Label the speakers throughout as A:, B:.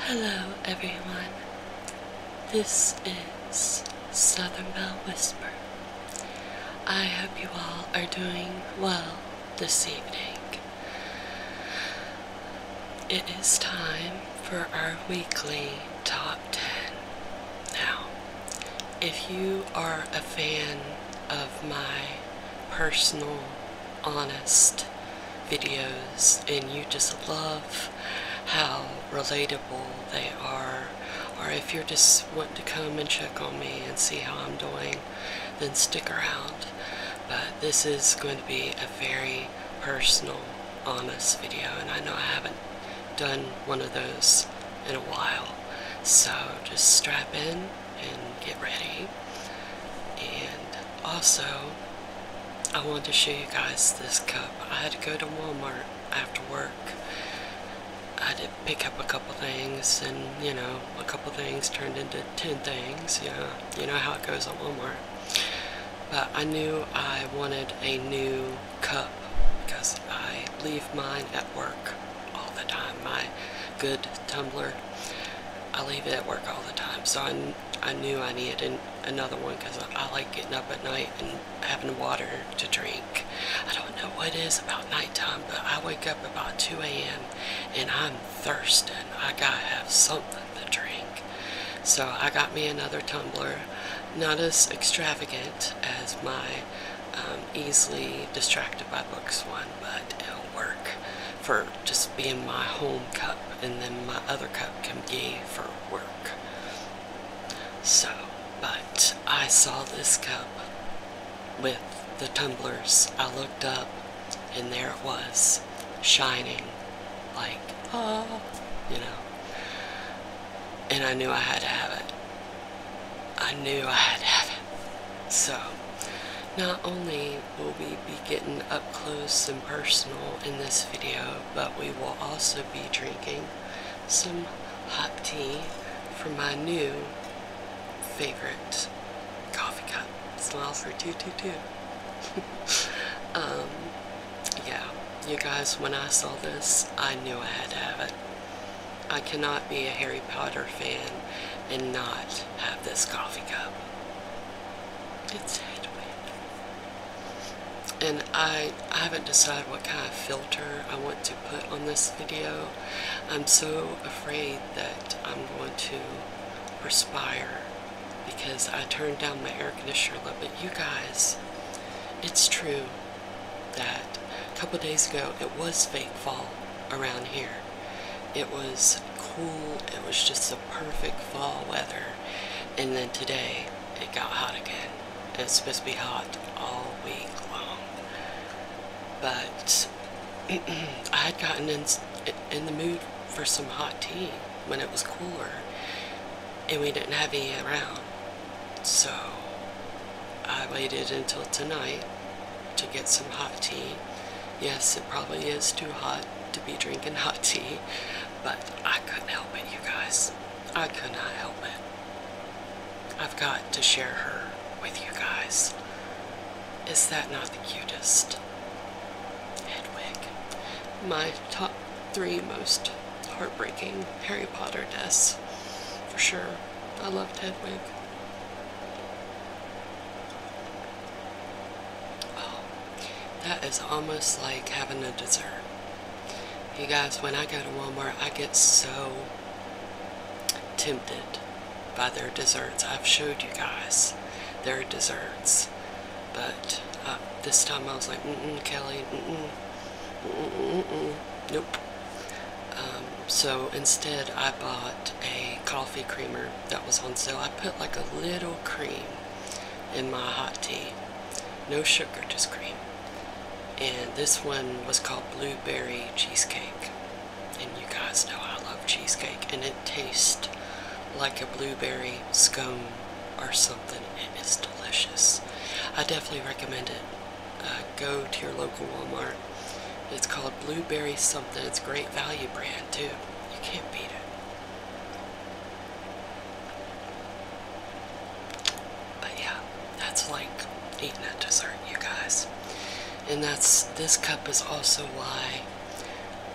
A: Hello, everyone. This is Southern Bell Whisper. I hope you all are doing well this evening. It is time for our weekly top 10. Now, if you are a fan of my personal honest videos, and you just love how relatable they are. Or if you just want to come and check on me and see how I'm doing, then stick around. But this is going to be a very personal, honest video, and I know I haven't done one of those in a while. So just strap in get ready. And also, I wanted to show you guys this cup. I had to go to Walmart after work. I did pick up a couple things, and you know, a couple things turned into 10 things. Yeah, you know how it goes at Walmart. But I knew I wanted a new cup because I leave mine at work all the time. My good tumbler, I leave it at work all the time. So I I knew I needed another one because I, like getting up at night and having water to drink. I don't know what it is about nighttime, but I wake up about 2 a.m. and I'm thirsting. I gotta have something to drink. So I got me another tumbler, not as extravagant as my um, easily distracted by books one, but it'll work for just being my home cup and then my other cup can be for work. So, but I saw this cup with the tumblers. I looked up and there it was, shining like, oh, you know. And I knew I had to have it. I knew I had to have it. So, not only we will we be getting up close and personal in this video, but we will also be drinking some hot tea from my new favorite coffee cup. It's Smiles for 222. um, yeah, you guys, when I saw this, I knew I had to have it. I cannot be a Harry Potter fan and not have this coffee cup. It's headwind. And I, I haven't decided what kind of filter I want to put on this video. I'm so afraid that I'm going to perspire because I turned down my air conditioner a little bit. You guys, it's true that a couple days ago it was fake fall around here it was cool, it was just the perfect fall weather. And then today, it got hot again. It's supposed to be hot all week long. But I had gotten in, in the mood for some hot tea when it was cooler, and we didn't have any around. So I waited until tonight to get some hot tea. Yes, it probably is too hot to be drinking hot tea, but I couldn't help it, you guys. I could not help it. I've got to share her with you guys. Is that not the cutest? Hedwig. My top three most heartbreaking Harry Potter deaths. For sure. I loved Hedwig. Oh, that is almost like having a dessert. You guys, when I go to Walmart, I get so tempted by their desserts. I've showed you guys their desserts, but uh, this time I was like, mm Kelly, mm-mm, mm-mm, mm nope. Um, so instead, I bought a coffee creamer that was on sale. I put like a little cream in my hot tea. No sugar, just cream. And this one was called Blueberry Cheesecake. And you guys know I love cheesecake. And it tastes like a blueberry scone or something. It is delicious. I definitely recommend it. Uh, go to your local Walmart. It's called Blueberry something. It's great value brand too. You can't beat it. But yeah, that's like eating that dessert, you guys. And that's this cup is also why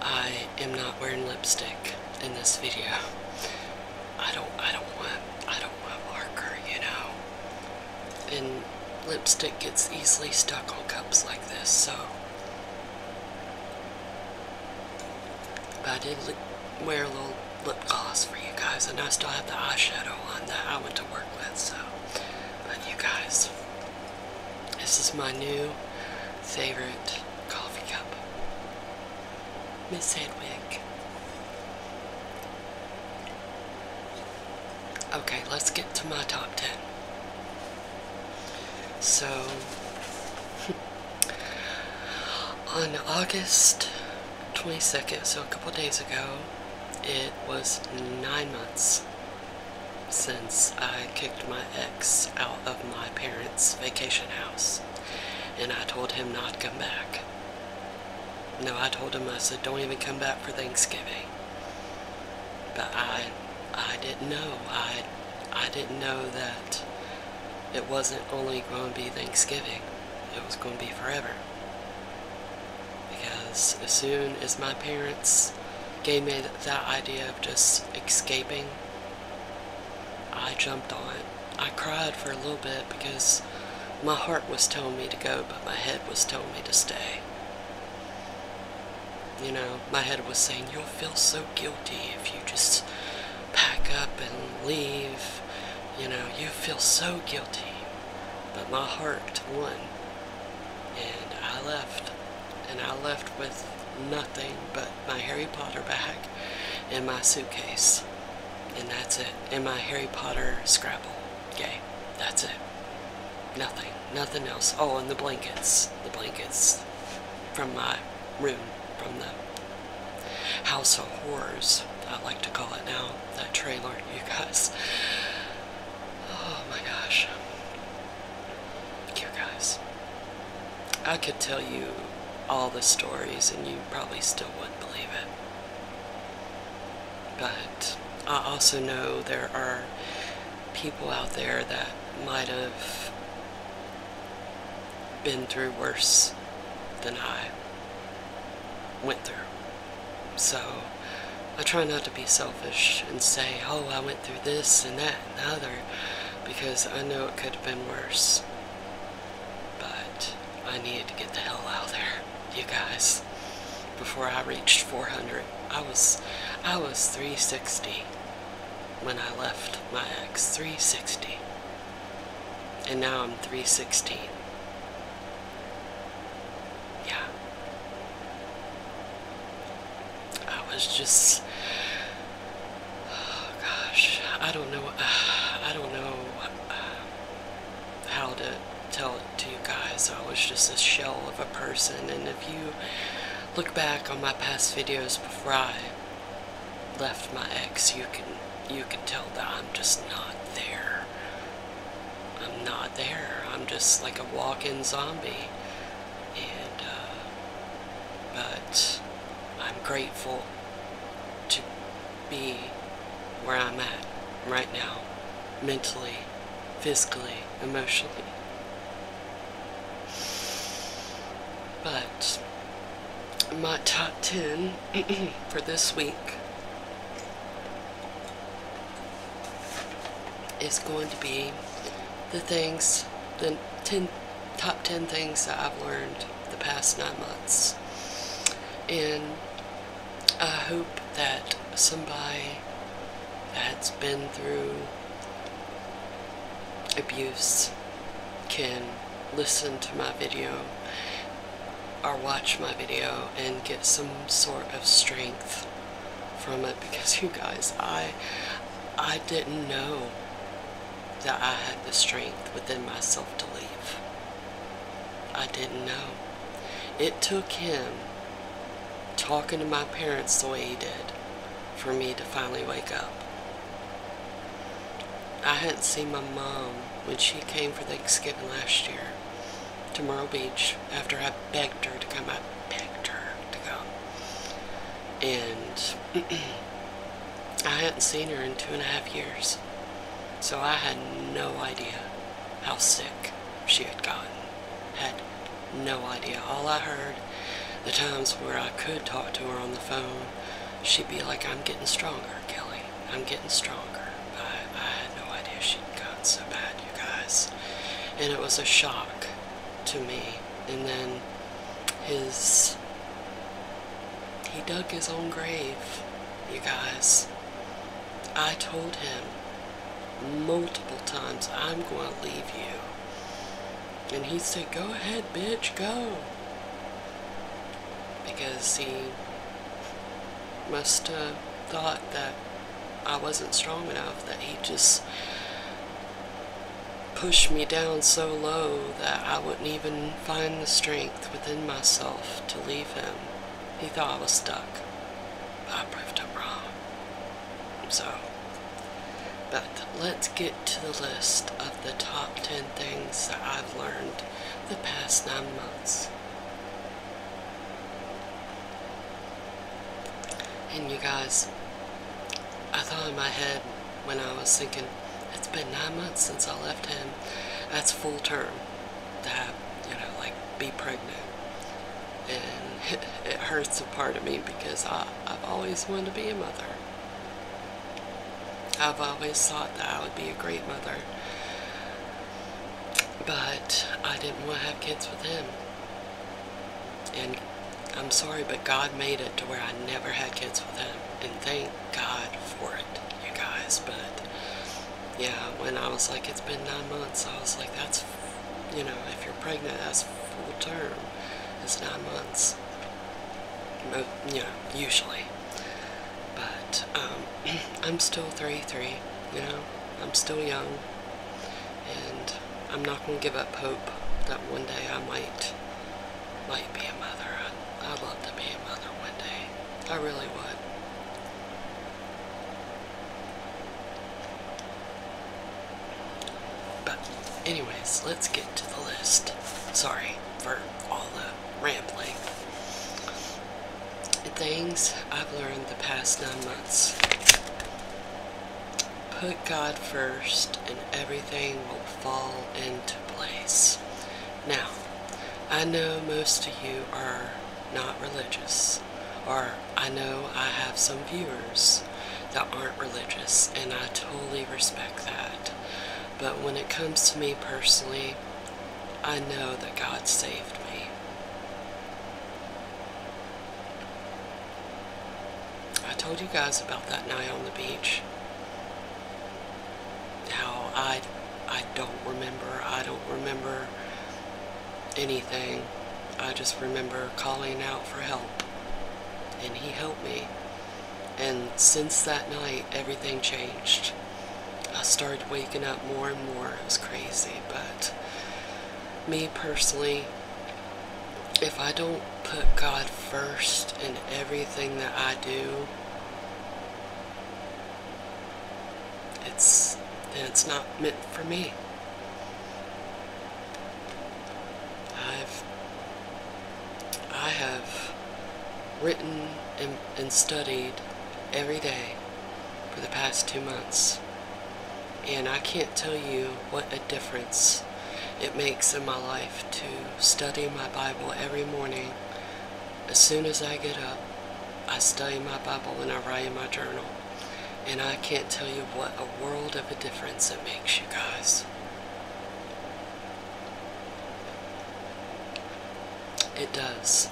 A: I am not wearing lipstick in this video. I don't I don't want I don't want marker, you know. And lipstick gets easily stuck on cups like this, so I did wear a little lip gloss for you guys, and I still have the eyeshadow on that I went to work with. So, but you guys, this is my new favorite coffee cup, Miss Hedwig. Okay, let's get to my top 10. So, on August 22nd, so a couple days ago, it was nine months since I kicked my ex out of my parents' vacation house and I told him not to come back. No, I told him, I said, don't even come back for Thanksgiving. But I, I didn't know. I, I didn't know that it wasn't only going to be Thanksgiving. It was going to be forever. Because as soon as my parents gave me that idea of just escaping, I jumped on it. I cried for a little bit because my heart was telling me to go, but my head was telling me to stay. You know, my head was saying, You'll feel so guilty if you just pack up and leave. You know, you feel so guilty. But my heart won. And I left. And I left with nothing but my Harry Potter bag and my suitcase. And that's it. And my Harry Potter Scrabble game. That's it. Nothing. Nothing else. Oh, and the blankets. The blankets from my room, from the House of Horrors, I like to call it now. That trailer, you guys. Oh my gosh. You guys. I could tell you all the stories and you probably still wouldn't believe it. But I also know there are people out there that might have been through worse than I went through. So I try not to be selfish and say, oh, I went through this and that and the other, because I know it could have been worse. But I needed to get the hell out of there, you guys before I reached 400. I was, I was 360 when I left my ex. 360. And now I'm 316. Yeah. I was just. Oh, gosh. I don't know. I don't know uh, how to tell it to you guys. I was just a shell of a person, and if you look back on my past videos before I left my ex, you can you can tell that I'm just not there. I'm not there. I'm just like a walk-in zombie. And uh, but I'm grateful to be where I'm at right now, mentally physically, emotionally. But my top 10 for this week is going to be the things, the 10, top 10 things that I've learned the past nine months. And I hope that somebody that's been through abuse can listen to my video or watch my video and get some sort of strength from it because you guys I I didn't know that I had the strength within myself to leave. I didn't know. It took him talking to my parents the way he did for me to finally wake up. I hadn't seen my mom when she came for Thanksgiving last year to Myrtle Beach after I begged her to come. I begged her to come. And I hadn't seen her in two and a half years. So I had no idea how sick she had gotten, had no idea. All I heard, the times where I could talk to her on the phone, she'd be like, I'm getting stronger, Kelly. I'm getting stronger. I, I had no idea she'd gotten so bad, you guys. And it was a shock to me. And then his. He dug his own grave, you guys. I told him multiple times, I'm going to leave you. And he said, Go ahead, bitch, go. Because he must have thought that I wasn't strong enough, that he just pushed me down so low that I wouldn't even find the strength within myself to leave him. He thought I was stuck. I proved him wrong. So, but let's get to the list of the top 10 things that I've learned the past nine months. And you guys, I thought in my head when I was thinking, it's been nine months since I left him. That's full term That you know, like be pregnant. And it hurts a part of me because I, I've always wanted to be a mother. I've always thought that I would be a great mother. But I didn't want to have kids with him. And I'm sorry, but God made it to where I never had kids with him. And thank God for it, you guys. But yeah, when I was like, it's been nine months, I was like, that's you know, if you're pregnant, that's full term. It's nine months, you know, usually. But um, I'm still 33, you know, I'm still young, and I'm not going to give up hope that one day I might, might be a mother. I, I'd love to be a mother one day. I really would. But, anyways, let's get to the list. Sorry for all the rambling. Things I've learned the past nine months. Put God first, and everything will fall into place. Now, I know most of you are not religious. Or I know I have some viewers that aren't religious, and I totally respect that. But when it comes to me personally, I know that God saved me. I told you guys about that night on the beach. Now I, I don't remember. I don't remember anything. I just remember calling out for help, and he helped me. And since that night, everything changed. I started waking up more and more. It was crazy, but me personally, if I don't put God first in everything that I do, it's then it's not meant for me. I've I have written and, and studied every day for the past two months. And I can't tell you what a difference it makes in my life to study my Bible every morning. As soon as I get up, I study my Bible and I write in my journal. And I can't tell you what a world of a difference it makes, you guys. It does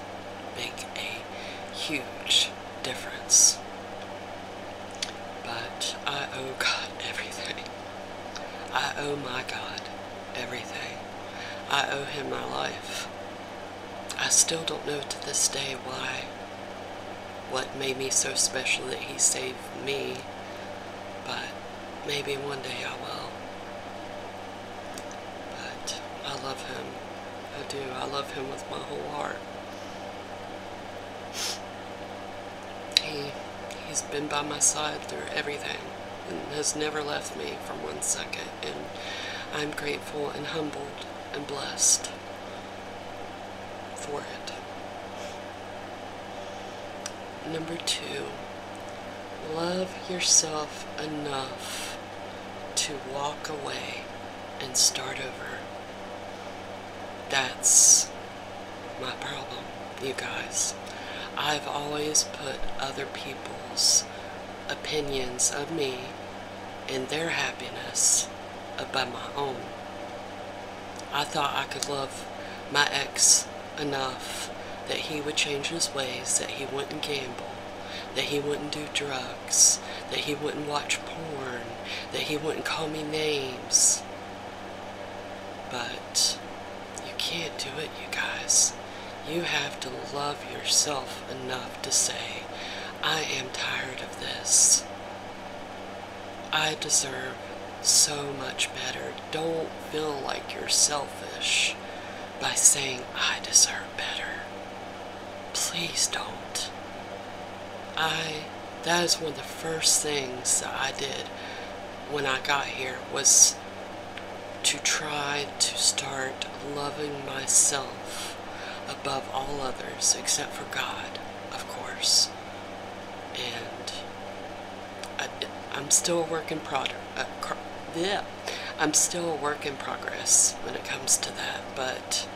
A: make a huge difference. But I owe God everything. I owe my God everything. I owe Him my life. I still don't know to this day why, what made me so special that he saved me, but maybe one day I will. But I love him. I do. I love him with my whole heart. He, he's been by my side through everything and has never left me for one second, and I'm grateful and humbled and blessed for it. Number two, love yourself enough to walk away and start over. That's my problem, you guys. I've always put other people's opinions of me in their happiness above my own. I thought I could love my ex enough that he would change his ways, that he wouldn't gamble, that he wouldn't do drugs, that he wouldn't watch porn, that he wouldn't call me names. But you can't do it, you guys. You have to love yourself enough to say, I am tired of this. I deserve so much better. Don't feel like you're selfish by saying, I deserve better. Please don't. I, that is one of the first things that I did when I got here was to try to start loving myself above all others, except for God, of course. And I, am still a work in progress. Uh, yeah, I'm still a work in progress when it comes to that, but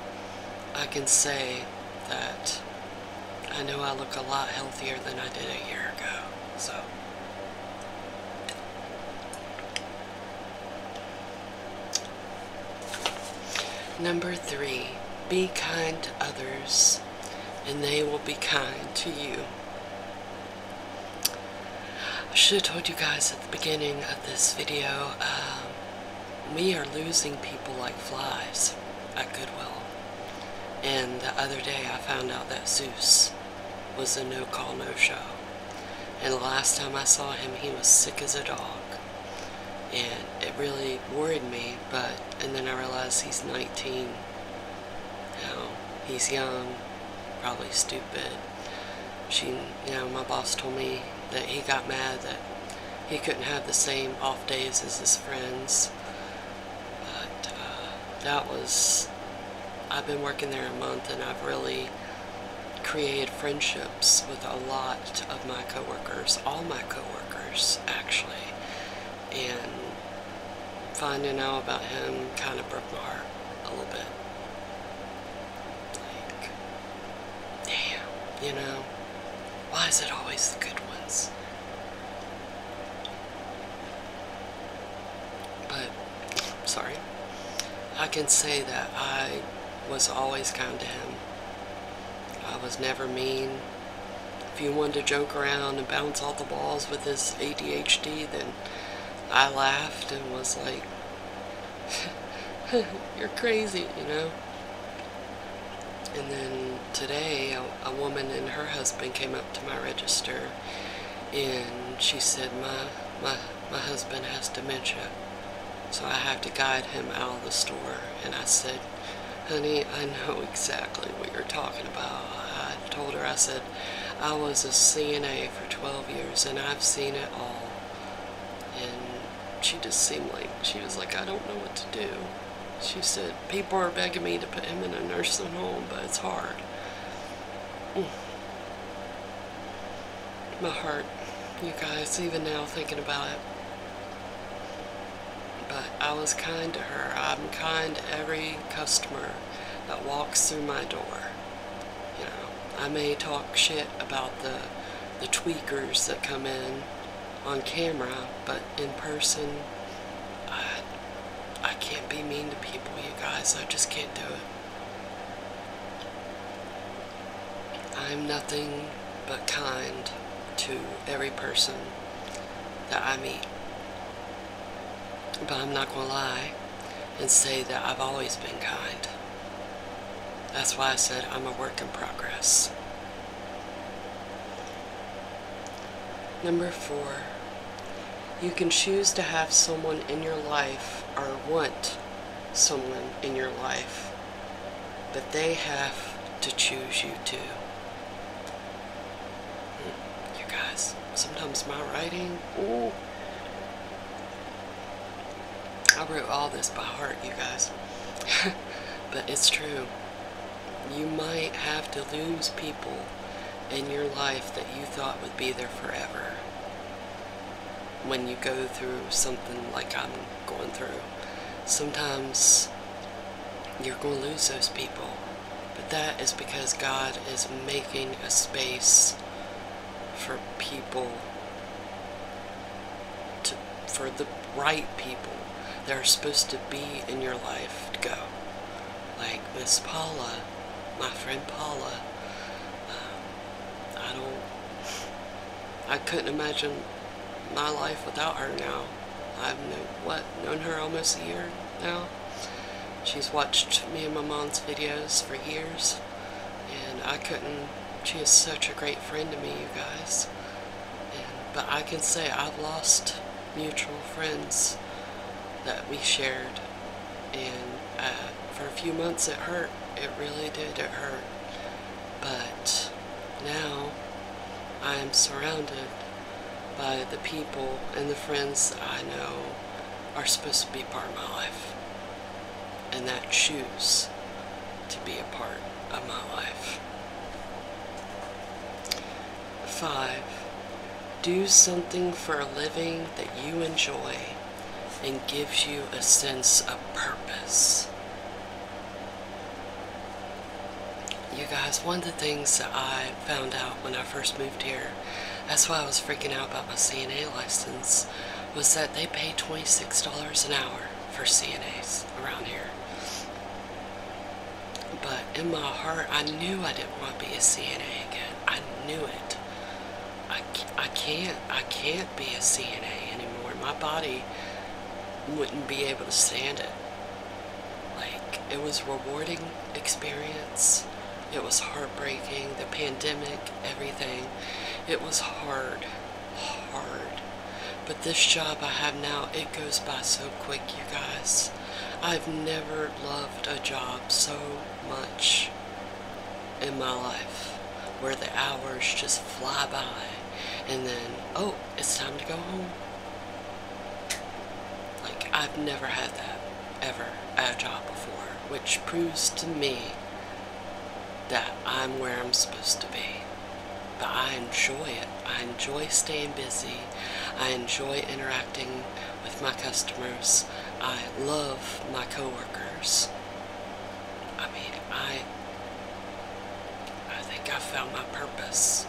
A: I can say that I know I look a lot healthier than I did a year ago. So. Number three, be kind to others and they will be kind to you. I should have told you guys at the beginning of this video, um, we are losing people like flies at Goodwill. And the other day I found out that Zeus was a no-call, no-show. And the last time I saw him, he was sick as a dog. And it really worried me, but, and then I realized he's 19. Now, he's young, probably stupid. She, you know, my boss told me that he got mad that he couldn't have the same off days as his friends. But uh, that was, I've been working there a month and I've really created friendships with a lot of my coworkers, all my coworkers actually, and finding out about him kind of broke my heart a little bit. Like, damn, you know, why is it always the good ones? But sorry, I can say that I was always kind to him. I was never mean. If you wanted to joke around and bounce off the balls with his ADHD, then I laughed and was like, you're crazy, you know? And then today, a, a, woman and her husband came up to my register and she said, my, my my husband has dementia, so I have to guide him out of the store. And I said, honey, I know exactly what you're talking about. I told her, I said, I was a CNA for 12 years and I've seen it all. And she just seemed like, she was like, I don't know what to do. She said, people are begging me to put him in a nursing home, but it's hard. Mm my heart, you guys, even now thinking about it. But I was kind to her. I'm kind to every customer that walks through my door. You know, I may talk shit about the the tweakers that come in on camera, but in person, I, I can't be mean to people, you guys. I just can't do it. I'm nothing but kind to every person that I meet. But I'm not going to lie and say that I've always been kind. That's why I said I'm a work in progress. Number four, you can choose to have someone in your life or want someone in your life, but they have to choose you too. Hmm, you guys, sometimes my writing, ooh. I wrote all this by heart, you guys. but it's true. You might have to lose people in your life that you thought would be there forever when you go through something like I'm going through. Sometimes you're going to lose those people. But that is because God is making a space for people to for the right people that are supposed to be in your life to go. Like Miss Paula, my friend Paula, um, I don't. I couldn't imagine my life without her now. I've known, what, known her almost a year now. She's watched me and my mom's videos for years, and I couldn't. She is such a great friend to me, you guys. but I can say I've lost mutual friends that we shared and uh, for a few months it hurt. It really did. It hurt. But now I'm surrounded by the people and the friends I know are supposed to be part of my life. And that choose to be a part of my life. Five, do something for a living that you enjoy and gives you a sense of purpose. You guys, one of the things that I found out when I first moved here, that's why I was freaking out about my CNA license, was that they pay $26 an hour for CNAs around here. But in my heart, I knew I didn't want to be a CNA again. I knew it. I, I can't I can't be a CNA anymore. My body wouldn't be able to stand it. Like it was rewarding experience. It was heartbreaking. The pandemic, everything. It was hard, hard. But this job I have now, it goes by so quick, you guys. I've never loved a job so much in my life where the hours just fly by and then, oh, it's time to go home. Like, I've never had that ever at a job before, which proves to me that I'm where I'm supposed to be. But I enjoy it. I enjoy staying busy. I enjoy interacting with my customers. I love my coworkers. I mean, I I think I found my purpose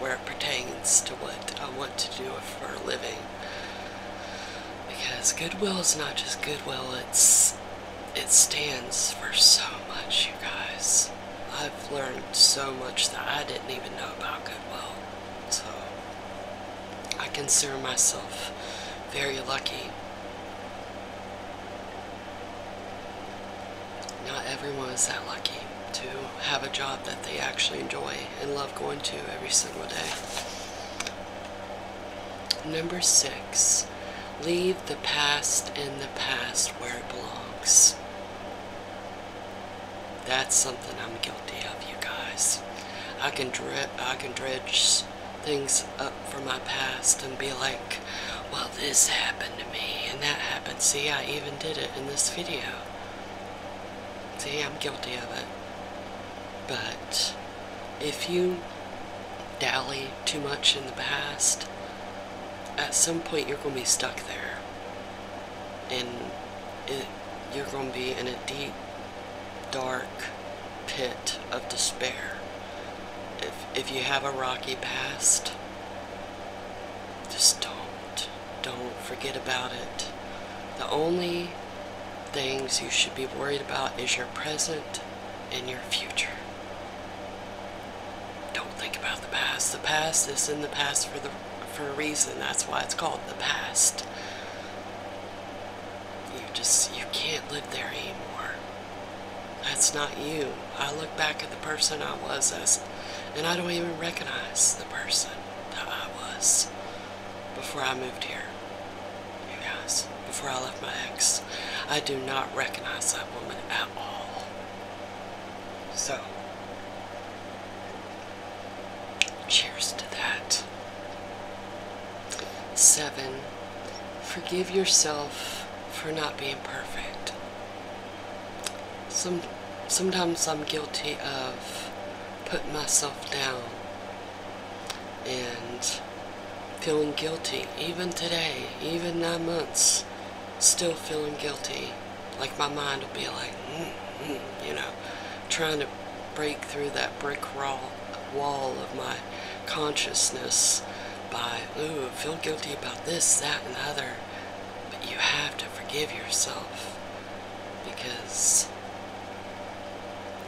A: where it pertains to what I want to do for a living. Because goodwill is not just goodwill, it's it stands for so much, you guys. I've learned so much that I didn't even know about goodwill. So I consider myself very lucky. Not everyone is that lucky to have a job that they actually enjoy and love going to every single day. Number six, leave the past in the past where it belongs. That's something I'm guilty of, you guys. I can dredge things up from my past and be like, well, this happened to me and that happened. See, I even did it in this video. See, I'm guilty of it. But if you dally too much in the past, at some point you're going to be stuck there. And you're going to be in a deep, dark pit of despair. If, if you have a rocky past, just don't. Don't forget about it. The only things you should be worried about is your present and your future. Don't think about the past. The past is in the past for the for a reason. That's why it's called the past you just you can't live there anymore that's not you i look back at the person i was as and i don't even recognize the person that i was before i moved here you guys before i left my ex i do not recognize that woman at all so Cheers to that. Seven, forgive yourself for not being perfect. Some, sometimes I'm guilty of putting myself down and feeling guilty, even today, even nine months, still feeling guilty. Like my mind will be like, mm, mm, you know trying to break through that brick wall of my consciousness by, ooh, feel guilty about this, that, and the other. But you have to forgive yourself because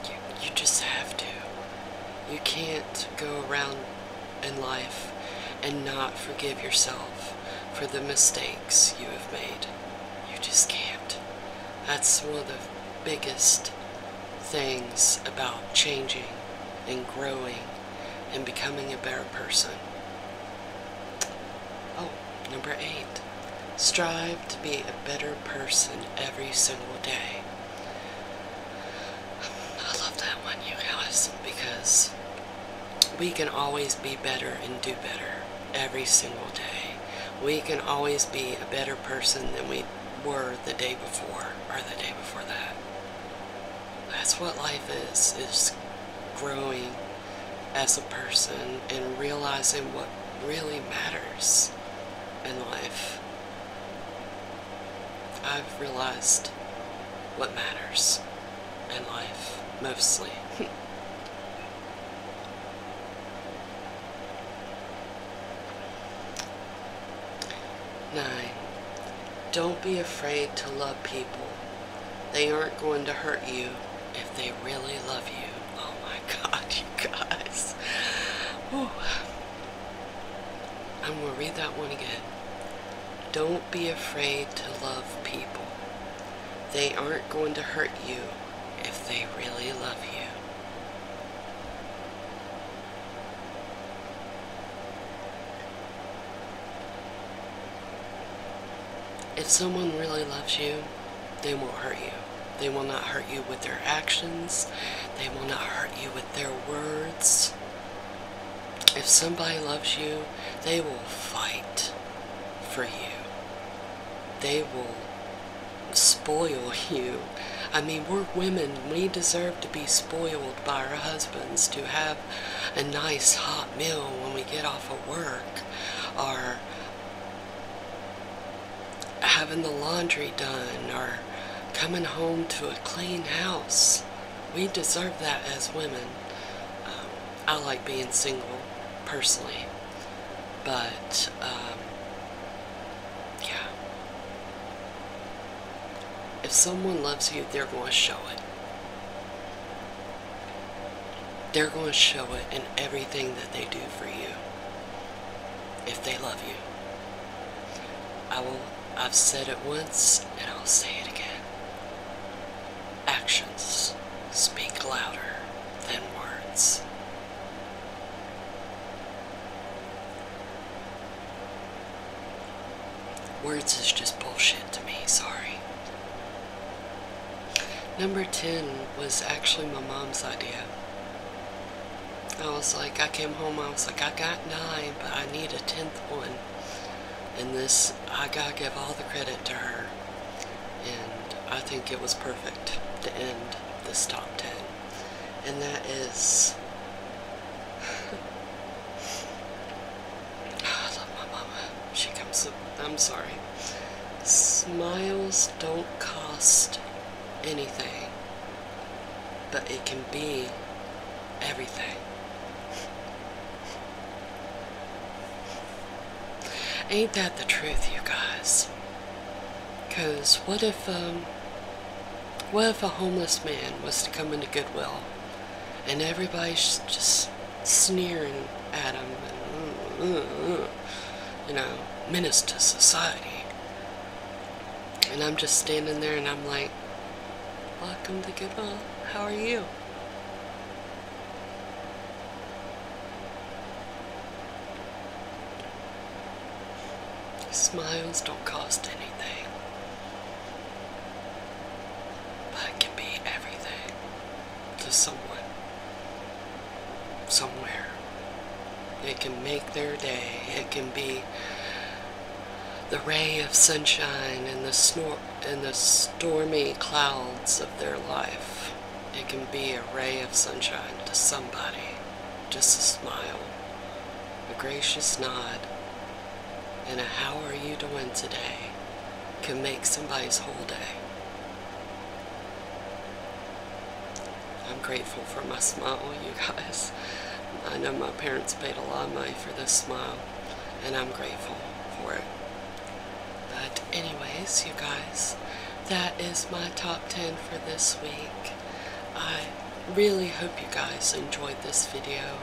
A: you, you just have to. You can't go around in life and not forgive yourself for the mistakes you have made. You just can't. That's one of biggest things about changing and growing and becoming a better person. Oh, number eight, strive to be a better person every single day. I love that one, you guys, because we can always be better and do better every single day. We can always be a better person than we were the day before or the day before that. That's what life is, is growing as a person and realizing what really matters in life. I've realized what matters in life, mostly. Nine, don't be afraid to love people. They aren't going to hurt you if they really love you. Oh my God, you guys. Whew. I'm going to read that one again. Don't be afraid to love people. They aren't going to hurt you if they really love you. If someone really loves you, they will not hurt you. They will not hurt you with their actions. They will not hurt you with their words. If somebody loves you, they will fight for you. They will spoil you. I mean, we're women. We deserve to be spoiled by our husbands, to have a nice hot meal when we get off of work, or having the laundry done, or coming home to a clean house. We deserve that as women. Um, I like being single, personally. But, um, yeah. If someone loves you, they're going to show it. They're going to show it in everything that they do for you. If they love you. I will, I've said it once and I'll say it again. Actions speak louder than words. Words is just bullshit to me, sorry. Number 10 was actually my mom's idea. I was like, I came home, I was like, I got nine, but I need a tenth one. And this, I gotta give all the credit to her and I think it was perfect to end this top 10. And that is. I love my mama. She comes I'm sorry. Smiles don't cost anything, but it can be everything. Ain't that the truth, you guys? Because what if, um, what if a homeless man was to come into Goodwill and everybody's just sneering at him and, mm, mm, mm, you know, menace to society? And I'm just standing there and I'm like, welcome to Goodwill, how are you? Smiles don't cost anything, but can be everything to someone, somewhere. It can make their day, it can be the ray of sunshine in the stormy clouds of their life. It can be a ray of sunshine to somebody, just a smile, a gracious nod, and a how are you doing today can make somebody's whole day. I'm grateful for my smile, you guys. I know my parents paid a lot of money for this smile, and I'm grateful for it. But, anyways, you guys, that is my top 10 for this week. I really hope you guys enjoyed this video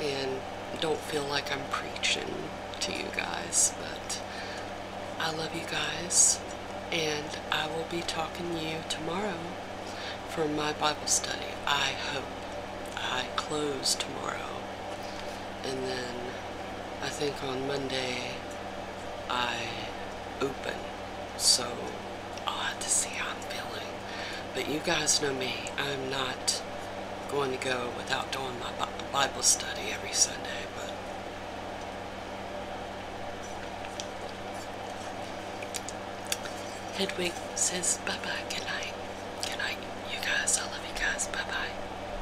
A: and don't feel like I'm preaching to you guys, but I love you guys, and I will be talking to you tomorrow for my Bible study. I hope I close tomorrow and then I think on Monday I open, so I'll have to see how I'm feeling. But you guys know me, I'm not going to go without doing my Bible study every Sunday, but Hedwig says bye-bye, good night, good night, you guys, I love you guys, bye-bye.